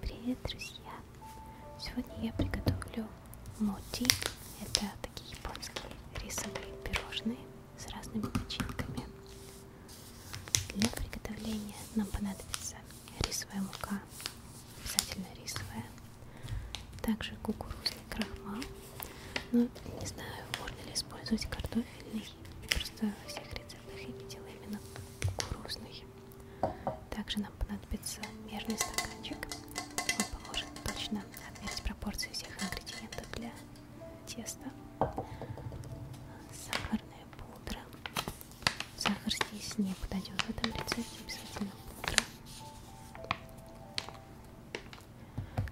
Привет, друзья! Сегодня я приготовлю моти. Это такие японские рисовые пирожные с разными начинками. Для приготовления нам понадобится рисовая мука, обязательно рисовая, также кукурузный крахмал, ну, не знаю, можно ли использовать картофельный. Просто во всех рецептах я видела именно кукурузный. Также нам понадобится мерный стаканчик. Он поможет точно отмерить пропорции всех ингредиентов для теста. Сахарная пудра. Сахар здесь не подойдет в этом рецепте, обязательно пудра.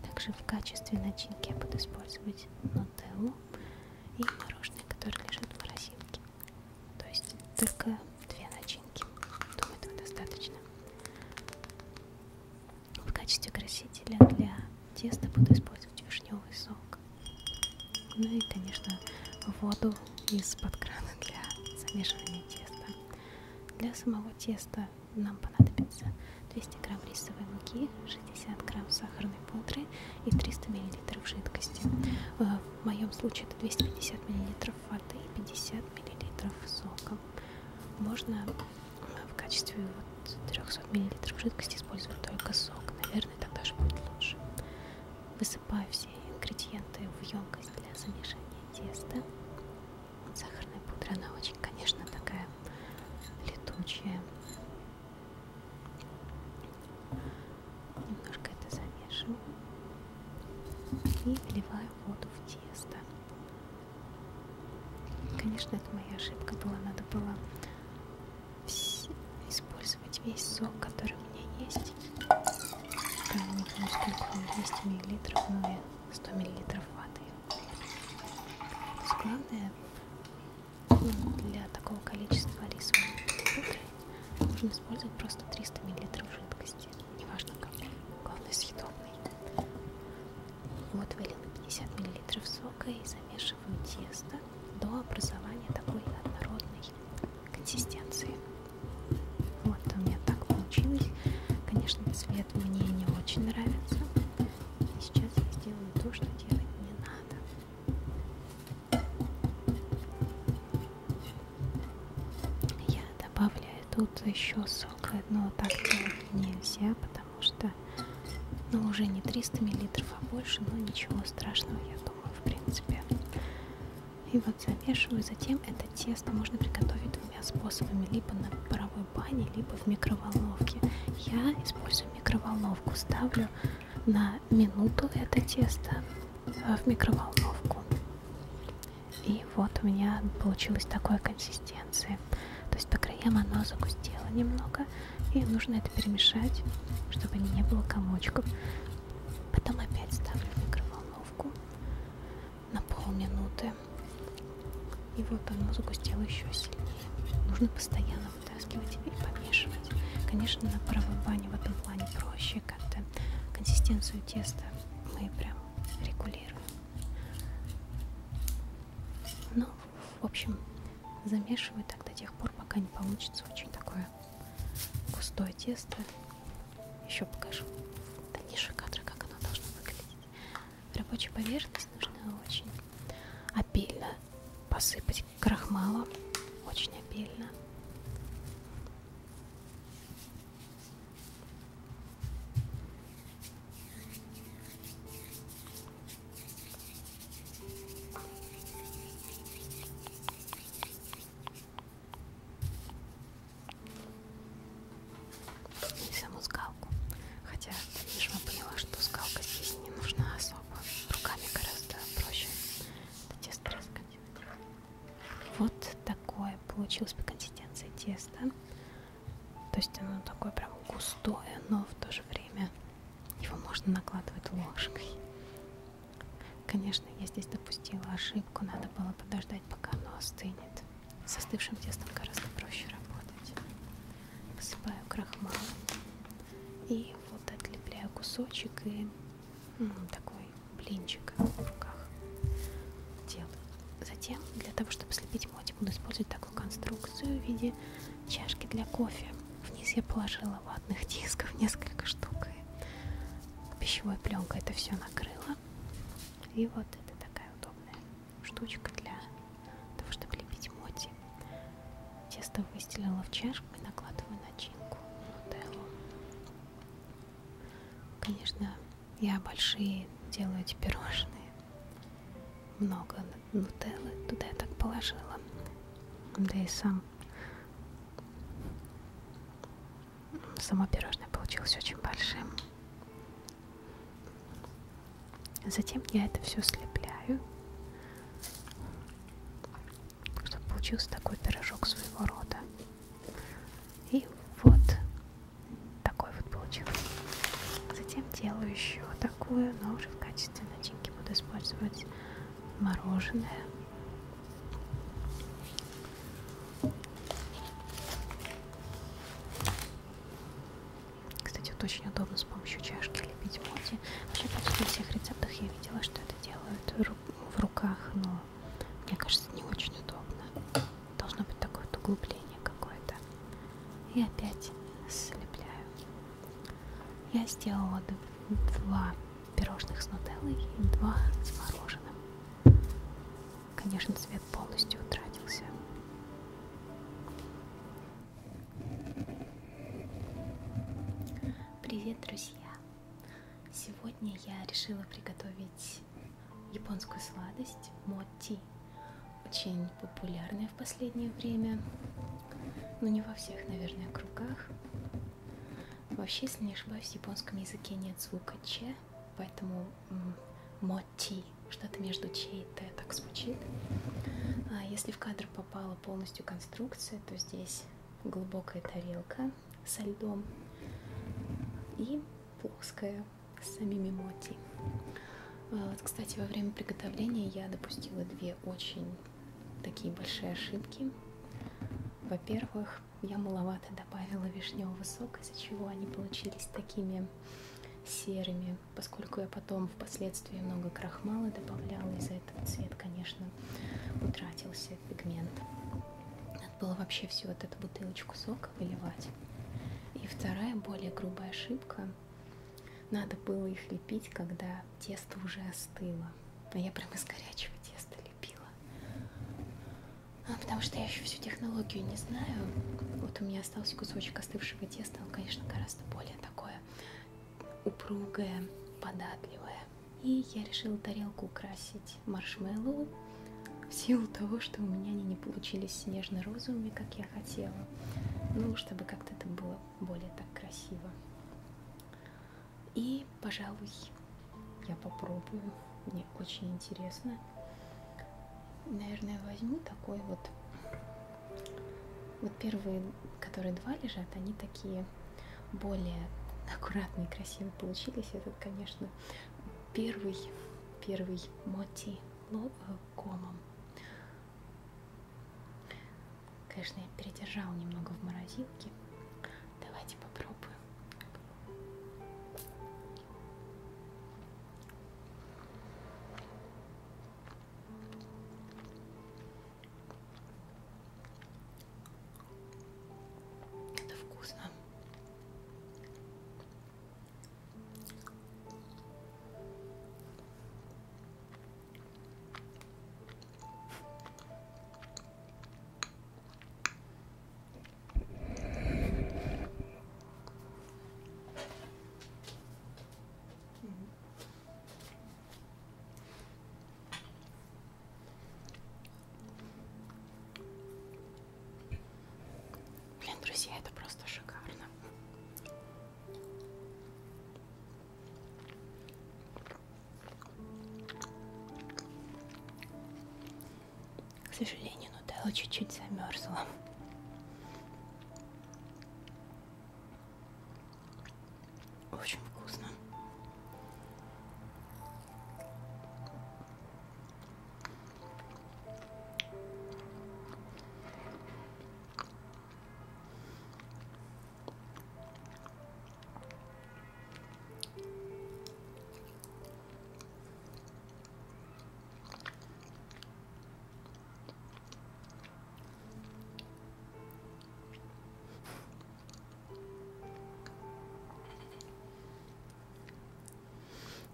Также в качестве начинки я буду использовать нутеллу и мороженое, которое лежит в морозилке. То есть только две начинки. Думаю, этого достаточно. В качестве красителя для теста буду использовать вишневый сок. Ну и, конечно, воду из-под крана для замешивания теста. Для самого теста рисового нам понадобится 200 грамм рисовой муки, 60 грамм сахарной пудры и 300 миллилитров жидкости. Э, в моем случае это 250 миллилитров воды и 50 миллилитров сока. Можно э, в качестве вот 300 миллилитров жидкости использовать только сок. Наверное, так даже будет лучше. Высыпаю все ингредиенты в емкость для замешания теста от сахарной пудры. Она очень, конечно, такая летучая. Немножко это замешиваю и вливаю воду в тесто. Конечно, это моя ошибка была. Надо было использовать весь сок, который у меня есть. Там, не помню, сколько, 200 миллилитров, ну и 100 миллилитров воды. То есть главное для такого количества рисовой пудры нужно использовать просто 300 мл жидкости, неважно какой, главное съедобный. Вот вылила 50 мл сока и замешиваю тесто до образования такой однородной консистенции. Вот у меня так получилось. Конечно, цвет цвет мне не очень нравится. И сейчас я сделаю то, что делать не надо. Я добавляю тут еще сок, но так делать нельзя, потому что ну, уже не 300 миллилитров, а больше, но ничего страшного, я думаю, в принципе. И вот замешиваю. Затем это тесто можно приготовить двумя способами, либо на паровой бане, либо в микроволновке. Я использую микроволновку, ставлю на минуту это тесто э, в микроволновку. И вот у меня получилась такая консистенция. То есть по краям оно загустело немного, и нужно это перемешать, чтобы не было комочков. Потом опять ставлю в микроволновку, на полминуты. И вот оно загустело еще сильнее. Нужно постоянно вытаскивать и помешивать. Конечно, на паровой бане в этом плане проще как-то. Консистенцию теста мы прям регулируем. Ну, в общем, замешиваю так до тех пор, пока не получится очень такое густое тесто. Еще покажу дальнейшие кадры, как оно должно выглядеть. Рабочую поверхность нужно очень обильно посыпать крахмалом, очень обильно и саму скалку. Хотя в дальнейшем я поняла, что скалка здесь не нужна особо. Руками гораздо проще это тесто раскатить. Вот такое получилось по консистенции тесто. То есть оно такое прям густое, но в то же время его можно накладывать ложкой. Конечно, я здесь допустила ошибку, надо было подождать, пока оно остынет. Со остывшим тестом гораздо проще работать. Посыпаю крахмалом и вот отлепляю кусочек и ну, такой блинчик в руках делаю. Затем для того, чтобы слепить мотик, буду использовать такую конструкцию в виде чашки для кофе. Вниз я положила ватных дисков несколько штук и пищевой пленкой это все накрыла. И вот это такая удобная штучка для того, чтобы лепить моти. Тесто выстелила в чашку и накладываю начинку нутеллу. Конечно, я большие делаю эти пирожные. Много нутеллы туда я так положила. Да и сам само пирожное получилось очень большим. Затем я это все слепляю, чтобы получился такой пирожок своего рода. И вот такой вот получился. Затем делаю еще такую, но уже в качестве начинки буду использовать мороженое. Кстати, вот очень удобно с помощью чашки лепить моти. Вообще почти во всех рецептах я видела, что это делают в руках, но мне кажется, не очень удобно. Должно быть такое вот углубление какое-то. И опять слепляю. Я сделала два пирожных с нутеллой и два с мороженым. Конечно, цвет полностью утратился. Привет, друзья! Сегодня я решила приготовить японскую сладость моти. Очень популярная в последнее время, но не во всех, наверное, кругах. Вообще, если не ошибаюсь, в японском языке нет звука «ч», поэтому «мотти» ти, что-то между че и т так звучит. А если в кадр попала полностью конструкция, то здесь глубокая тарелка со льдом и плоская с самими моти. А вот, кстати, во время приготовления я допустила две очень такие большие ошибки. Во-первых, я маловато добавила вишневого сока, из-за чего они получились такими серыми, поскольку я потом впоследствии много крахмала добавляла, из-за этого цвет, конечно, утратился пигмент. Надо было вообще всю вот эту бутылочку сока выливать. И вторая, более грубая ошибка, надо было их лепить, когда тесто уже остыло. А я прям из горячего теста лепила. А, потому что я еще всю технологию не знаю. Вот у меня остался кусочек остывшего теста. Он, конечно, гораздо более такое упругое, податливое. И я решила тарелку украсить маршмеллоу в силу того, что у меня они не получились нежно-розовыми, как я хотела. Ну, чтобы как-то это было более так красиво. И, пожалуй, я попробую мне очень интересно. Наверное, возьму такой вот. Вот первые, которые два лежат, они такие более аккуратные, красивые получились. Этот, конечно, первый, первый моти э, комом. Конечно, я передержала немного в морозилке. Давайте попробуем. Это вкусно. Блин, друзья, это просто шикарно. К сожалению, нутелла чуть-чуть замерзла. Очень вкусно.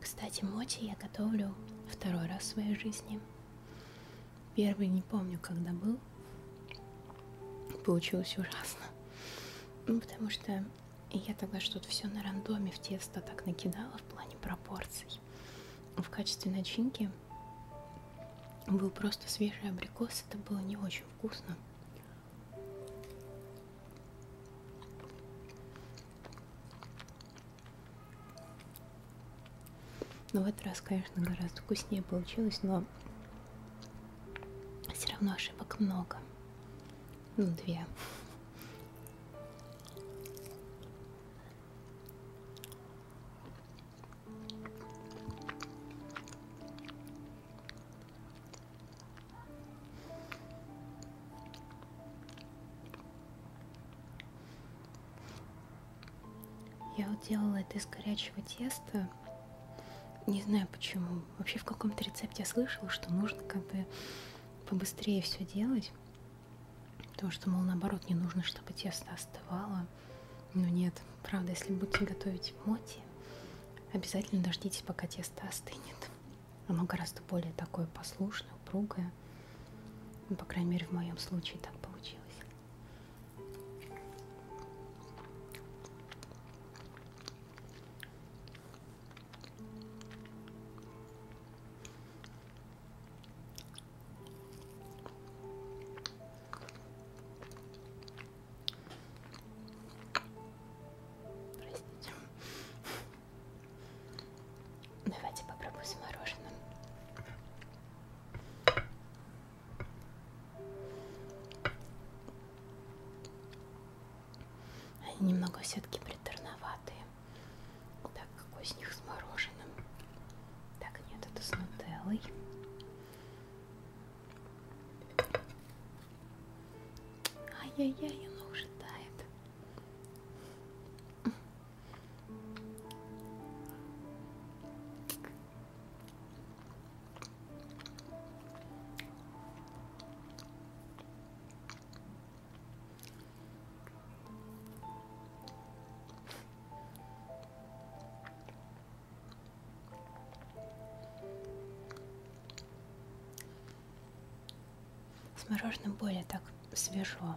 Кстати, моти я готовлю второй раз в своей жизни. Первый не помню, когда был. Получилось ужасно. Ну, потому что и я тогда что-то все на рандоме в тесто так накидала в плане пропорций. В качестве начинки был просто свежий абрикос, это было не очень вкусно. Но в этот раз, конечно, гораздо вкуснее получилось, но все равно ошибок много. Ну, две. Я вот делала это из горячего теста. Не знаю почему там, вообще в каком-то рецепте я слышала, что нужно как бы побыстрее все делать. Потому что, мол, наоборот, не нужно, чтобы тесто остывало. Но нет, правда, если будете готовить моти, обязательно дождитесь, пока тесто остынет. Оно гораздо более такое послушное, упругое. Ну, по крайней мере, в моем случае так получилось. Простите. Давайте попробуем с мороженым. Они немного все-таки приторноватые. Так, какой из них с мороженым? Так, нет, это с нутеллой. Ай-яй-яй, оно уже тает. С мороженым более так свежо.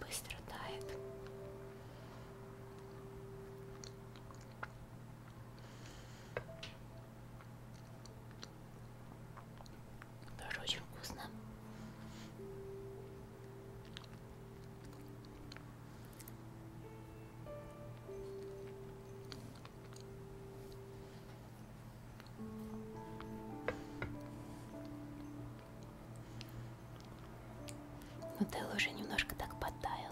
Быстро тает. Тоже очень вкусно. Но Телла уже немножко так подтаяла.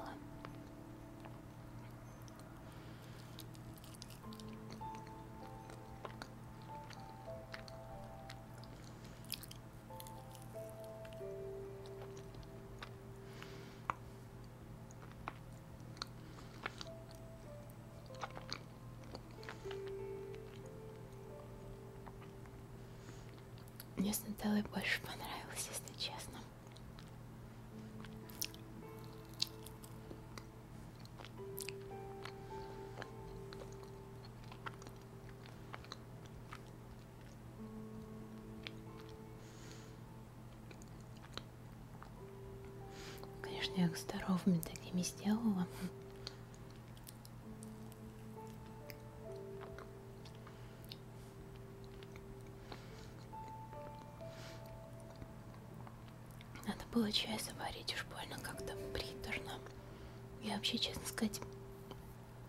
Мне с Нателлой больше понравилось, если честно. Конечно, я их здоровыми такими сделала. Надо было чай заварить, уж больно как-то приторно. Я вообще, честно сказать,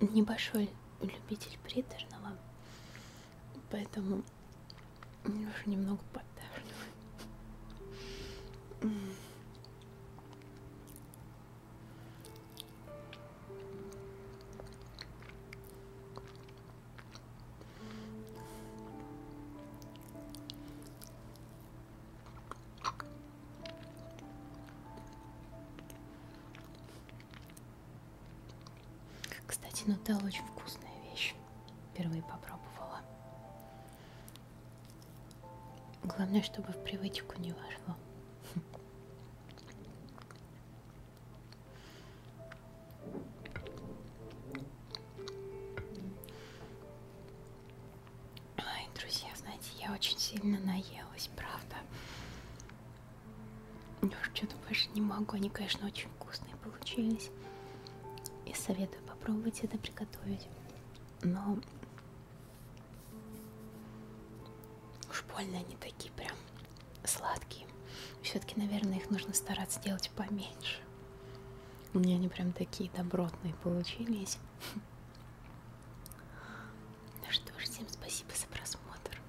небольшой любитель приторного, поэтому мне уже немного подташнивает. Кстати, нутелла очень вкусная вещь. Впервые попробовала. Главное, чтобы в привычку не вошло. Ай, друзья, знаете, я очень сильно наелась, правда. Я уже ну, что-то больше не могу. Они, конечно, очень вкусные получились. И советую попробовать это приготовить. Но уж больно они такие прям сладкие. Все-таки, наверное, их нужно стараться делать поменьше. У меня они прям такие добротные получились. Ну что ж, всем спасибо за просмотр.